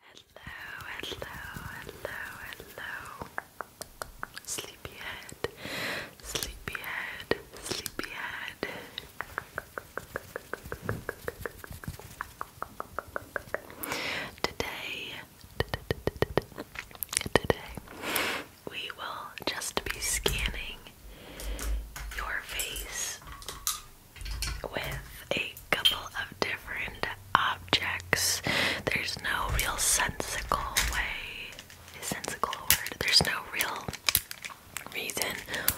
Hello, hello, hello, hello. Sleepyhead, sleepyhead, sleepyhead. Today, today, we will just be scanning your face with a couple of different objects. There's no real sensical way. sensical word? There's no real reason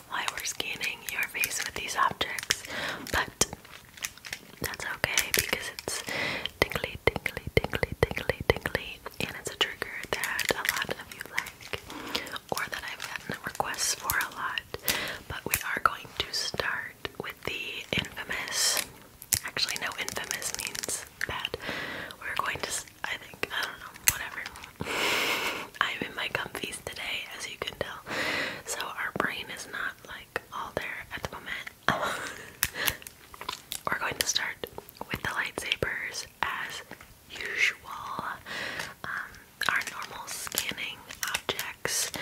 why we're scanning your face with these objects, but that's okay because it's tingly, tingly, tingly, tingly, tingly, and it's a trigger that a lot of you like or that I've gotten requests for a lot. But we are going to start with the infamous. Actually, no, infamous means bad. We're going to, I think, I don't know, whatever. I'm in my comfies today, as you can tell. So our brain is not like all there at the moment. We're going to start with the lightsabers as usual. Um, our normal scanning objects.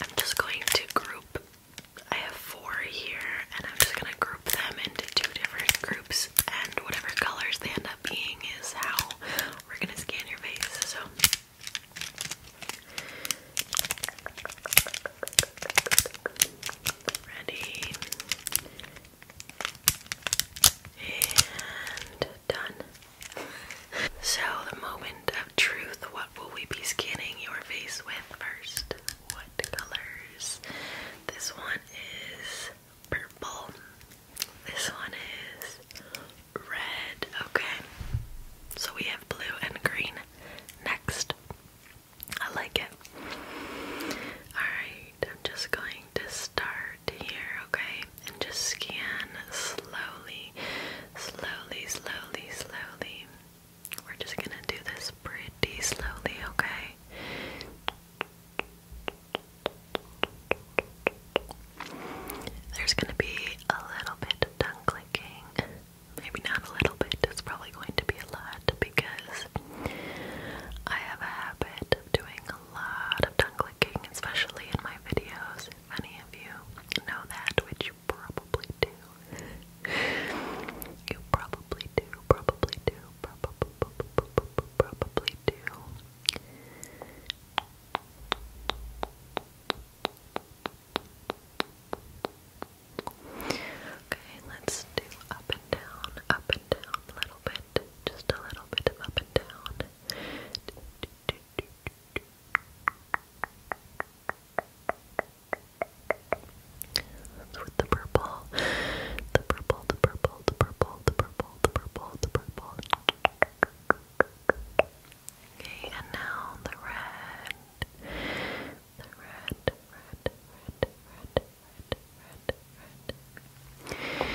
I'm just going to group. I have four here, and I'm just gonna group them into two different groups, and whatever colors they end up being is how we're gonna scan your face. So. Ready and done. So, the moment of truth, what will we be scanning your face with first? What colors? This one is purple. This one is red. Okay. So we have blue and green next. I like it. Alright, I'm just going to start here, okay? And just scan slowly slowly, slowly, slowly. We're just gonna do this pretty slowly, okay? There's gonna be a little bit of tongue clicking. Maybe not a little bit, it's probably going to be a lot because I have a habit of doing a lot of tongue clicking, especially in my videos. If any of you know that, which probably do. You probably do, probably do, probably, do. Okay, let's do up and down, up and down a little bit, just a little bit of up and down. do, with The purple, the purple, the purple, the purple, the purple, the purple. Okay, and now the red. The red, red, red, red, red, red, red.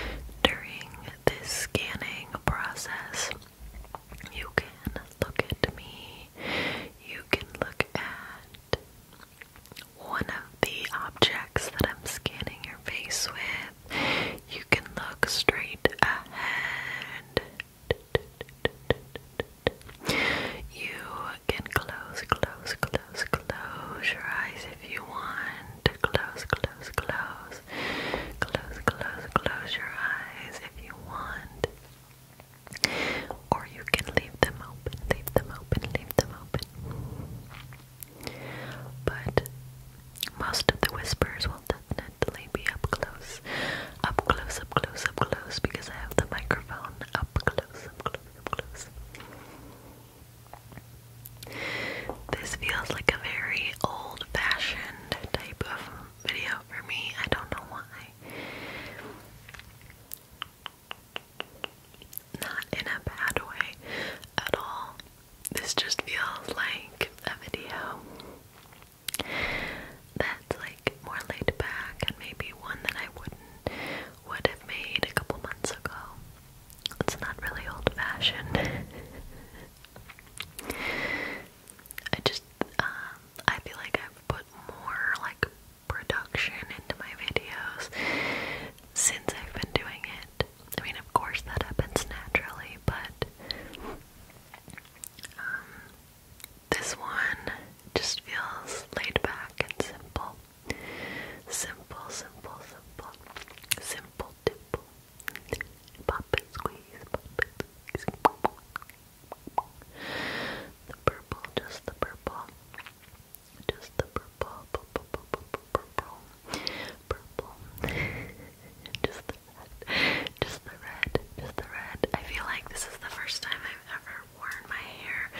During this scanning process, you can look at me. You can look at one of the objects that I'm scanning your face with. You can look straight ahead. You can close, close, close, close your eyes if you want. Close, close, close. Close, close, close your eyes if you want. Or you can leave them open, leave them open, leave them open. But most of the whispers will definitely be up close, up close, up close, up close, because I have the microphone up close, up close. This feels like a very old fashioned type of video for me. I don't know why. Not in a bad way at all. This just feels like a video that's like more laid back and maybe one that I wouldn't would have made a couple months ago. It's not really old fashioned. I just um, I feel like I've put more like production into my videos since I've been doing it. I mean, of course, that happens naturally, but um, this one just feels laid back and simple. Simple, simple, simple, simple, simple, Pop and squeeze, pop and squeeze. The purple, just the purple. Just the purple, purple, purple, purple, purple. just the red, just the red, just the red. I feel like this is the first time I've ever worn my hair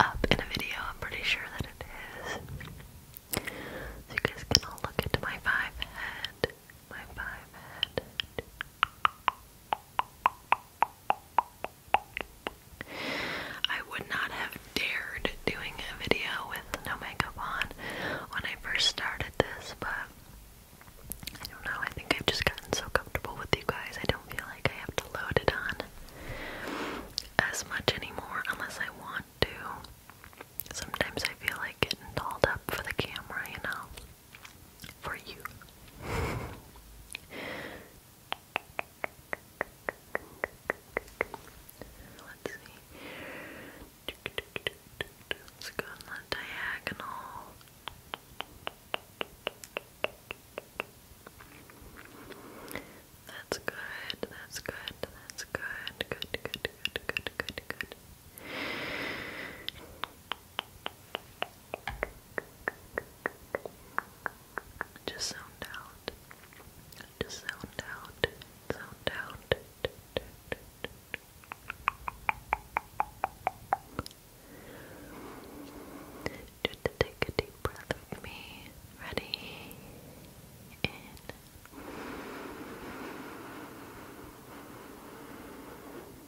up in a video. I'm pretty sure that it is. you guys can all look into my five head my five head. I would not have dared doing a video with no makeup on when I first started this, but I don't know. I think I've just gotten so comfortable with you guys. I don't feel like I have to load it on as much anymore unless I want to. Sometimes I feel like getting dolled up for the camera, you know for you. Let's see. Let's go on the diagonal. That's good, that's good, that's good, good, good, good, good, good, good. Just sound out. Just sound out. Sound out. Just take a deep breath with me. Ready? In.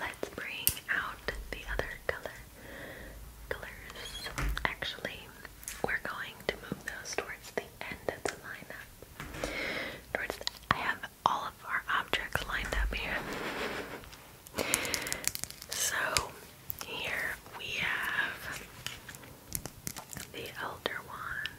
Let's bring out the other colors. Actually, we're going to move those towards the end of the lineup. I have all of our objects lined up here. So here we have the elder wand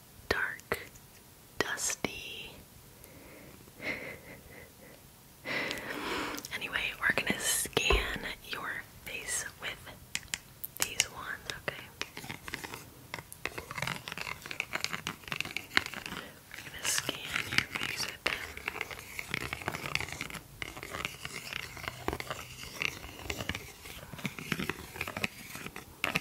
dark, dusty. anyway, we're gonna scan your face with these ones, okay? We're gonna scan your face Ready?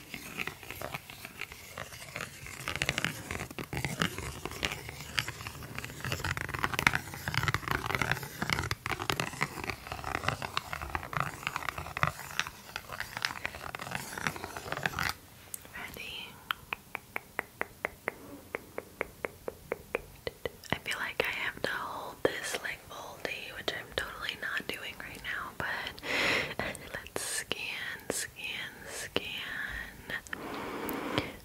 I feel like I have to hold this like all day, which i i totally not doing right now, but let's scan, scan, scan.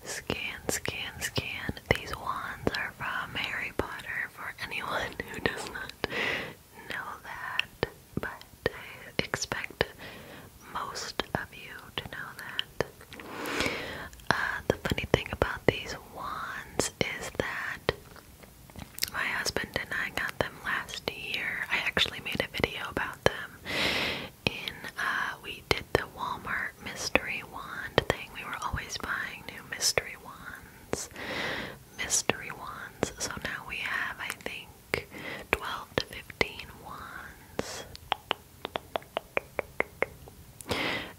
Scan, scan, scan. These wands are from Harry Potter for anyone who does not know that, but expect most of you to know that. Uh, the funny thing about these wands is that my husband and I got them last year. I actually made a video about them. In uh, we did the Walmart mystery wand thing. We were always buying new mystery wands, mystery wands. So now we have, I think, twelve to fifteen wands.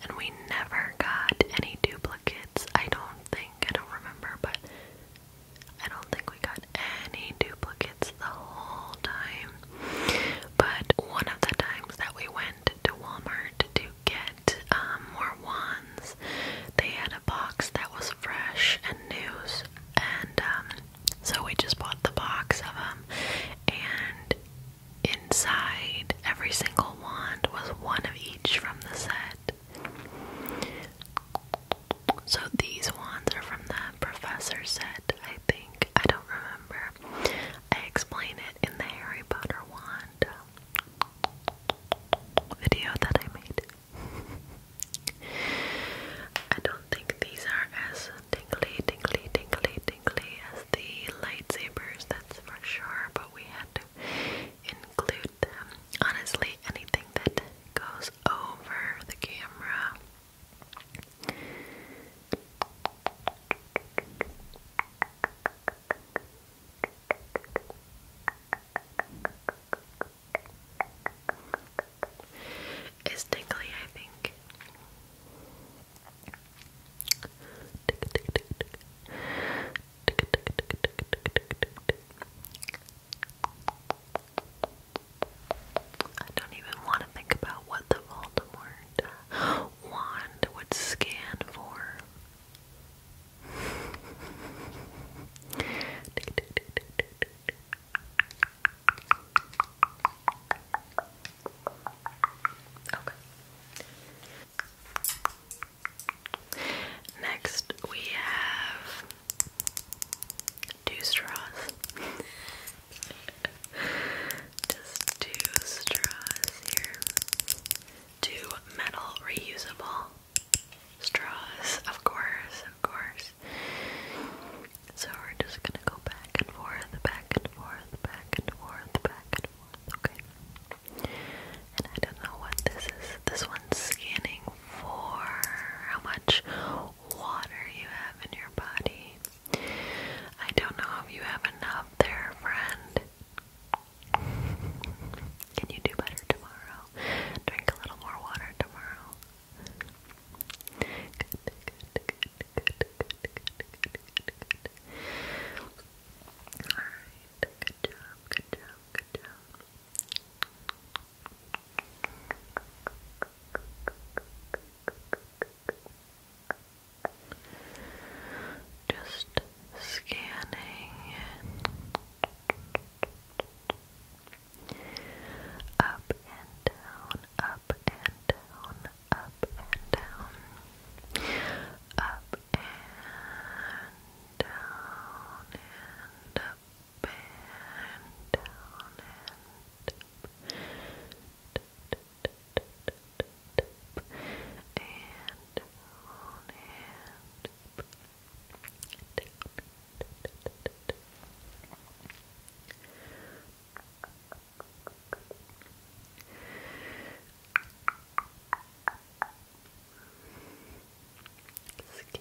And we never got any duplicates, I don't think. I don't remember, but I don't think we got any duplicates the whole time. But one of the times that we went to Walmart to get um, more wands, they had a box that was fresh and new, and um, so we just bought the box of them. And inside, every single wand was one of each from the set. So these ones are from the professor set, I think. I don't remember. I explain it in the Harry Potter wand video that I made. I don't think these are as tingly, tingly, tingly, tingly as the lightsabers, that's for sure, but we had to include Honestly, anything that goes over the camera. Is tickly, I think. I don't even want to think about what the Voldemort wand would scan for. Okay. Next, we have two straws. Just two straws here. Two metal reusable straws, of course, of course. So we're just gonna go back and forth, back and forth, back and forth, back and okay? And I don't know what this is. This one's scanning for how much water you have in your body. I don't know if you have enough there, friend. Can you do better tomorrow? Drink a little more water tomorrow. Good, good, good, good, good, good, good, good, Alright, good job, good job, good job. Just scanning up and down, up and down, up and down, up and down, and up up and down and up and down and down. Skin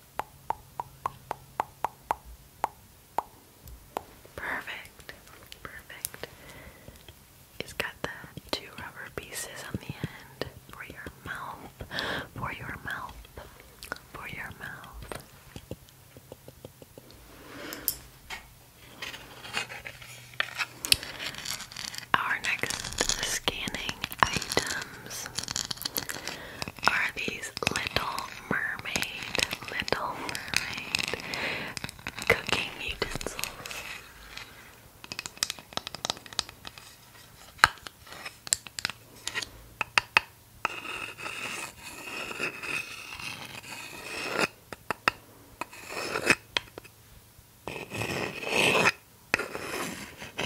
Perfect. Perfect. It's got the two rubber pieces on the end for your mouth. For your mouth. For your mouth. Our next scanning items are these Little Mermaid, Little Mermaid cooking utensils. Anyway,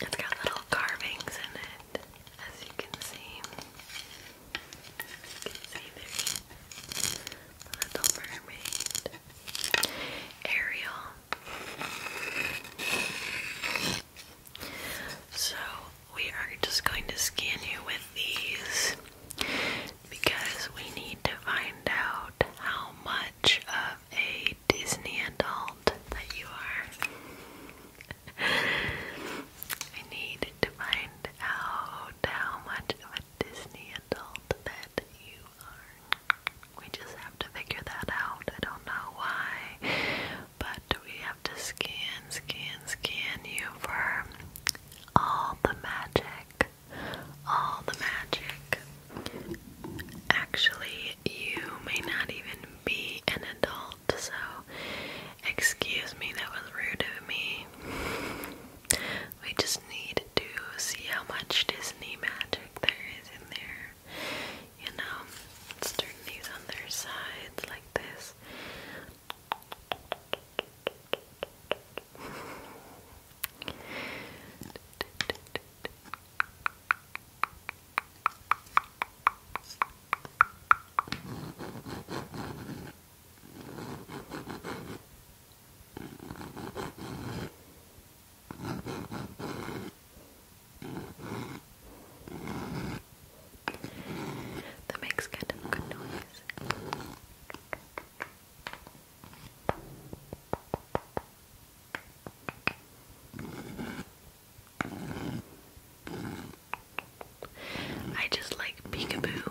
it's got little carvings in it, as you can see. You can see there's a little mermaid, Ariel, so we are just going to scan you with these because we need to find out how much of a Disney adult that you are. I need to find out how much of a Disney adult that you are. We just have to figure that out. I don't know why, but we have to scan, scan, scan you for all the magic. All the magic. Actually, you may not even be an adult, so excuse me, that was rude of me. We just need to see how much Disney magic there is in there you know, turn these on their sides like this. That makes kind of good noise. I just like peekaboo.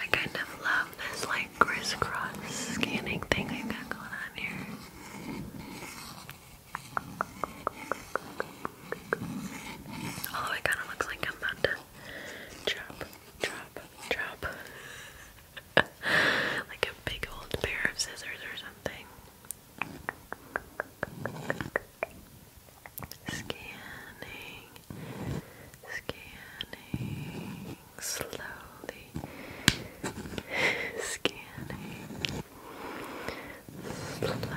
I kind of love this like crisscross scanning thing i got going on here. Although it kind of looks like I'm about to drop Drop, drop. like a big old pair of scissors or something. Scanning, scanning, slowly, scanning, slowly, scanning,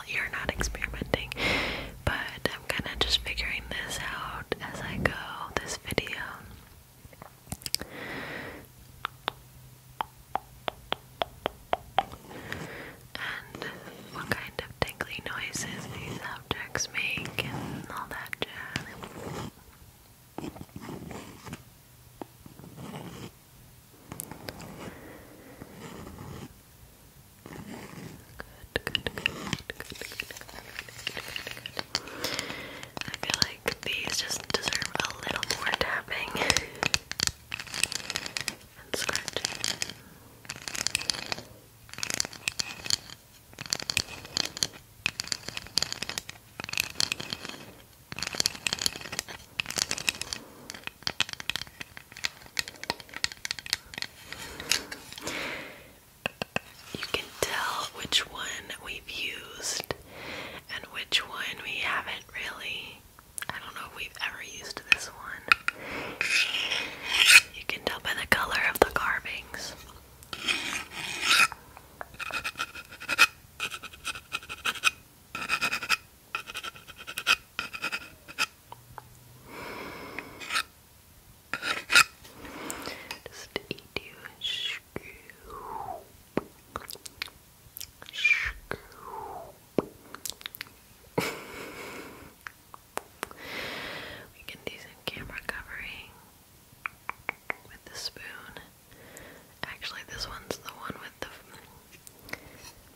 you're not experimenting, but I'm kind of just figuring this out as I go. This video. And what kind of tingly noises these objects make and all that jazz good, good, I feel like these just deserve a little more tapping and scratching. You can tell which one we've used and which one we haven't really. I don't know if we've ever used this one. You can tell by the color of the carvings. Just eat you a screw. we can do some camera covering with the spoon. Actually, this one's the one with the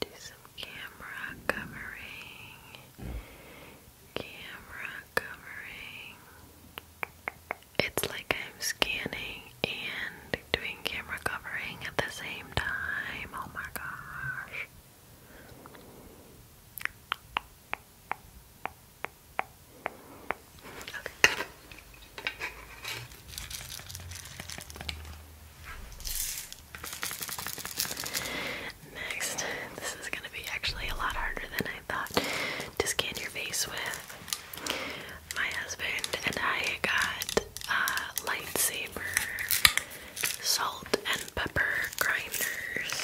do some camera covering. Camera covering. It's like I'm scanning and doing camera covering at the same time. Oh my gosh. Next, this is going to be actually a lot harder than I thought to scan your face with. My husband and I got uh, lightsaber salt and pepper grinders.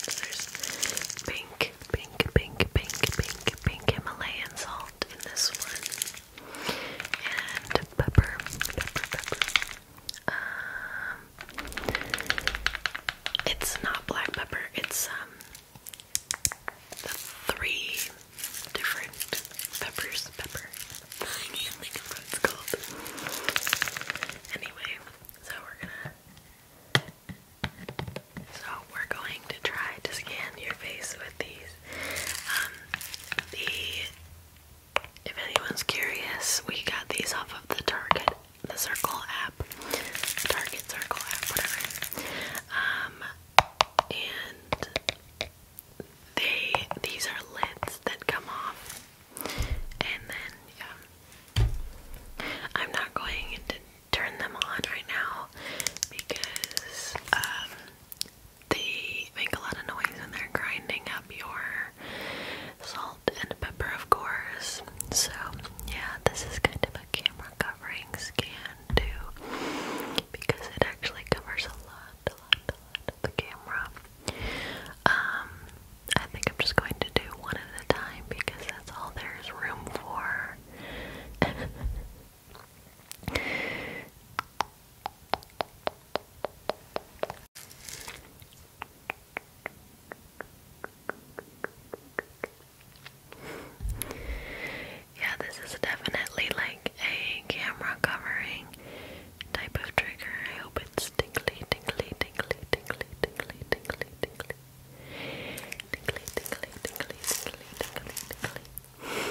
So there's pink, pink, pink, pink, pink, pink Himalayan salt in this one and pepper, pepper, pepper. Um, it's not black pepper. It's um the three different peppers. Pepper. Anyway, so we're gonna. So we're going to try to scan your face with these um, if anyone's curious, we got these off of the Target, the Circle app, Target Circle app, whatever. Um, and they these are lids that come off, and then yeah, um, I'm not going to turn them on right now because um they make a lot of noise when they're grinding up your salt and pepper, of course. So, yeah, this is kind of a camera covering scan too, because it actually covers a lot, a lot, a lot of the camera. Um, I think I'm just going to do one at a time because that's all there's room for. Yeah, this is definitely like a camera covering type of trigger. I hope it's tingly, tingly, tingly, tingly, tingly, tingly, tingly. Tingly, tingly, tingly, tingly, tingly, tingly.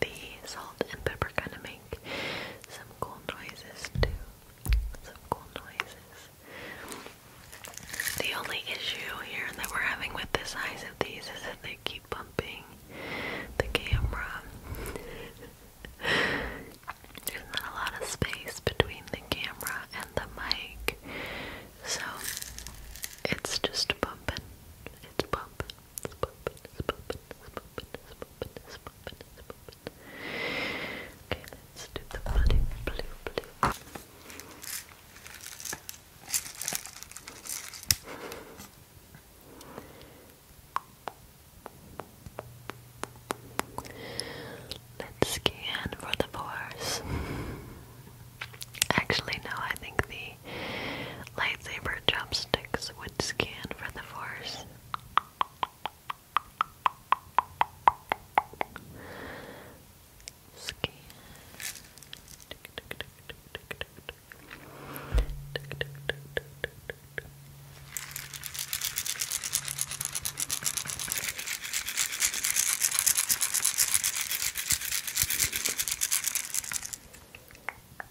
The salt and pepper kind of make some cool noises too. Some cool noises. The only issue here that we're having with the size of these is that they keep bumping the camera. There's not a lot of space between the camera and the mic, so it's just bumping. It's bumping, it's bumping, it's bumping, Okay, let's do the money blue blue. Let's scan for the pores. Actually, no, I think the lightsaber chopsticks would scan for the force.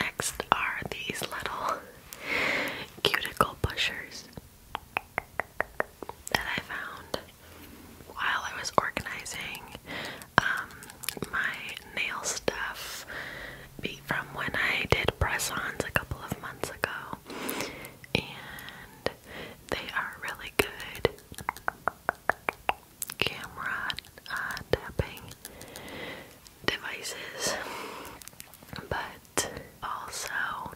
Next are these little cuticle pushers that I found while I was organizing um, my nail stuff from when I did press ons a couple of months ago. And they are really good camera uh, tapping devices, but also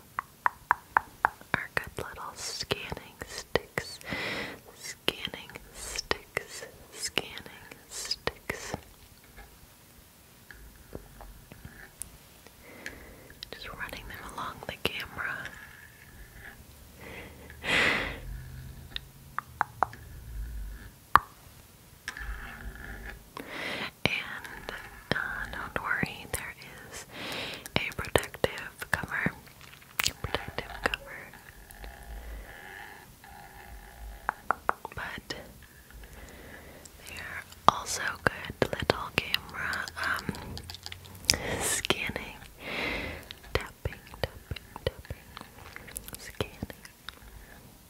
are good little scanning sticks, scanning sticks, scanning sticks. Just running them along the camera. And uh, don't worry, there is a protective cover. Protective cover. But they're also good little camera um, scanning, tapping, tapping, scanning.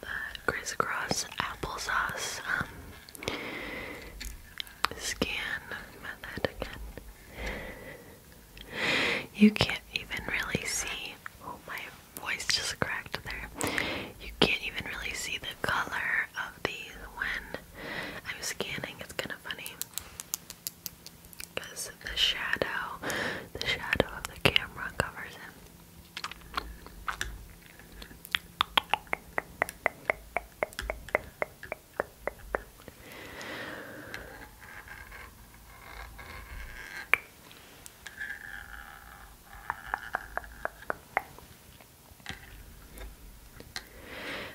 that crisscross applesauce um, scan method again. You can't even really see. Oh, my voice just cracked there. You can't even really see the color of these when I'm scanning. It's kind of funny because the shadow, the shadow of the camera covers him.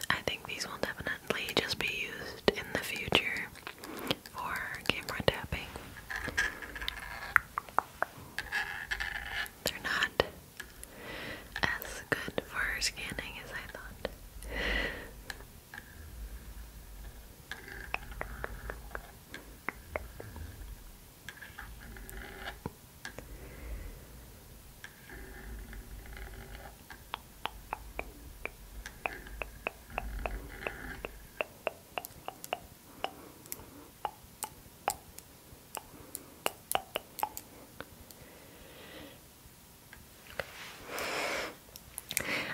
I think these will definitely just be used in the future for camera tapping. They're not as good for scanning as I thought.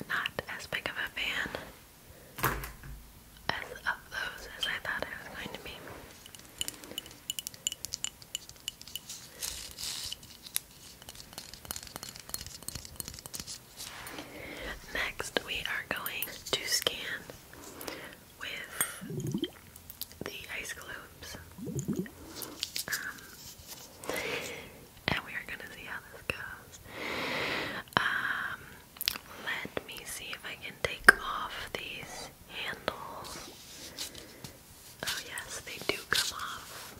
Not as big of a fan as of those as I thought I was going to be. Next, we are going to scan with the ice cubes, um, and we are going to see how this goes. Um, let me see if I can take off these handles. Oh, yes, they do come off.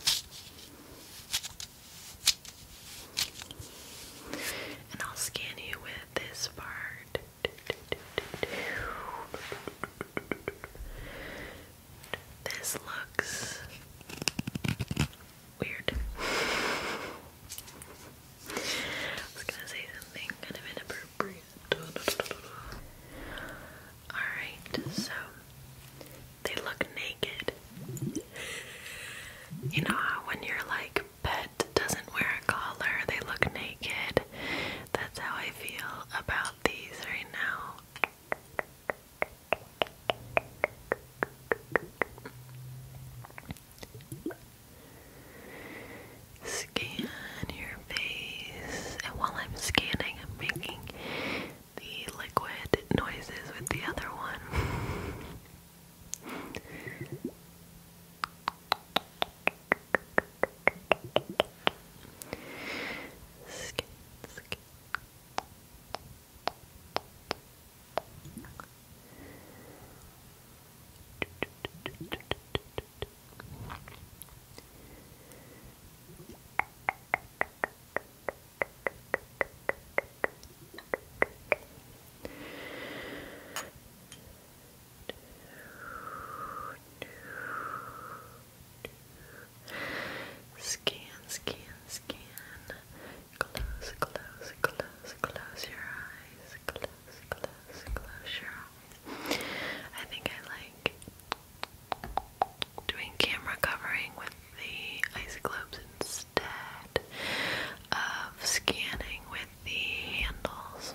And I'll scan you with this part. This looks weird. I was gonna say something kind of inappropriate. Alright, so they look naked. You know how when your like pet doesn't wear a collar, they look naked. That's how I feel about these right now. Scan your face, and while I'm scanning, I'm making the liquid noises with the other one. skin, skin. Scan, scan, scan. Close, close, close, close your eyes. Close, close, close your eyes. I think I like doing camera covering with the isoclopes instead of scanning with the handles.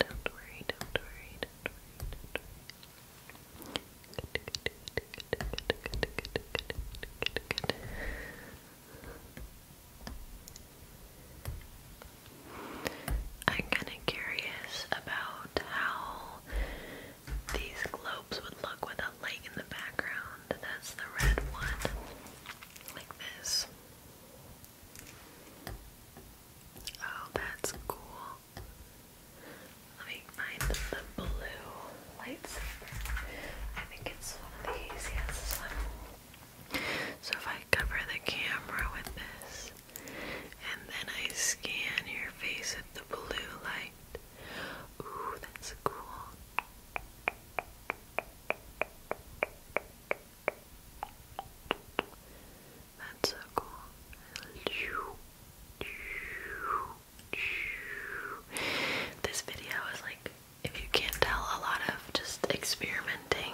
Don't worry, don't worry, don't worry, I'm kinda curious about how these globes would look with a lake in the background. That's the red one. Like this. Oh, that's cool. Let me find the blue lightsaber. I think it's one of these. Yes, So if I cover the camera with this, and then I scan your face with the blue light. Ooh, that's cool. That's so cool. This video is like, if you can't tell, a lot of just experimenting.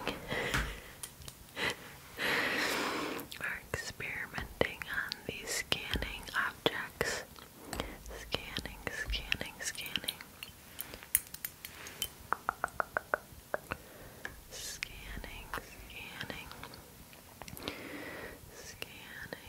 We're experimenting on these scanning objects. Scanning, scanning, scanning. Scanning, scanning, scanning, scanning.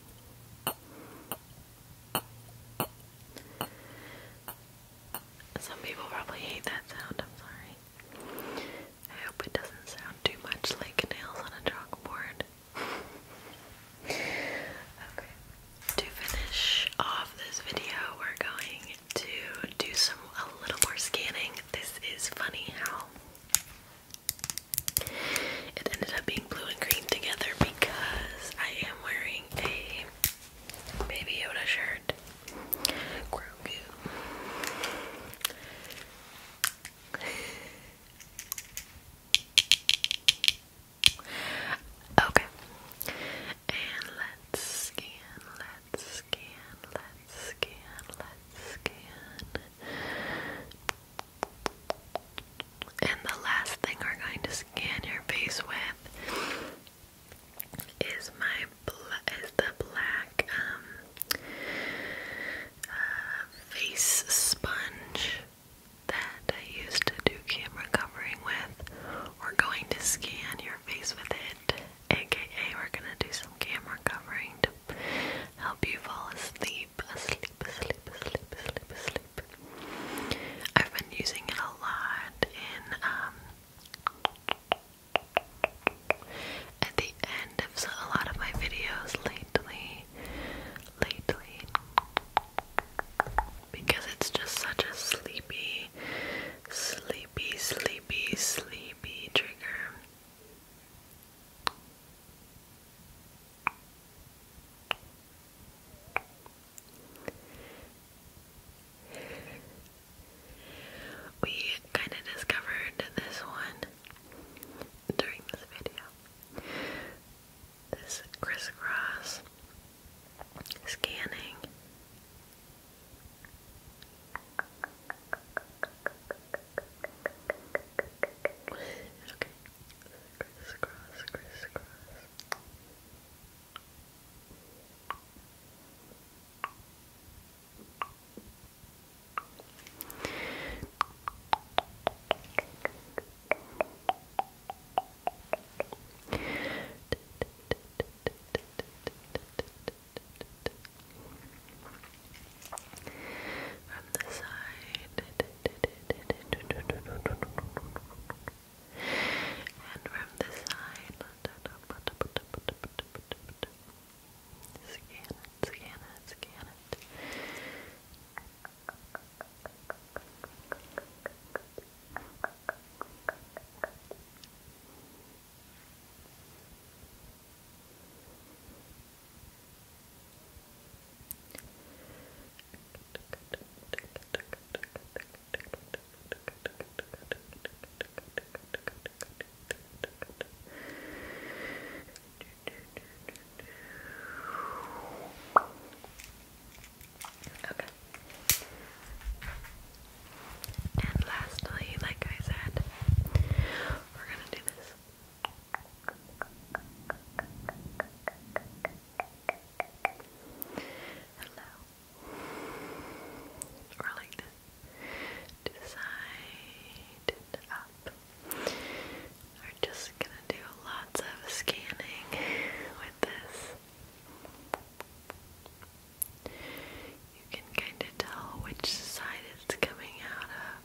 Some people probably hate that sound, I'm sorry. I hope it doesn't sound too much like nails on a chalkboard. okay. To finish off this video, we're going to do some a little more scanning. This is funny how it ended up being blue and green together because I am wearing a Baby Yoda shirt. Okay. And let's scan, let's scan, let's scan, let's scan. And the last thing we're going to scan your face with is my the black um, uh, face sponge that I used to do camera covering with. We're going to scan your face with it, aka we're gonna do some camera covering to help you fall asleep, asleep, sleep, sleep, sleep, sleep, I've been using it a lot in um, at the end of a lot of my videos lately, lately, because it's just such a sleepy, sleepy, sleepy, sleepy trigger. We kind of discovered this one during this video. This crisscross scanning. Okay. Crisscross, crisscross from the side and from the side scan it, scan it, scan it Okay. And lastly, like I said, we're gonna do this. Hello. Rolling to the side and up. We're just gonna do lots of scanning with this. You can kind of tell which side it's coming out of.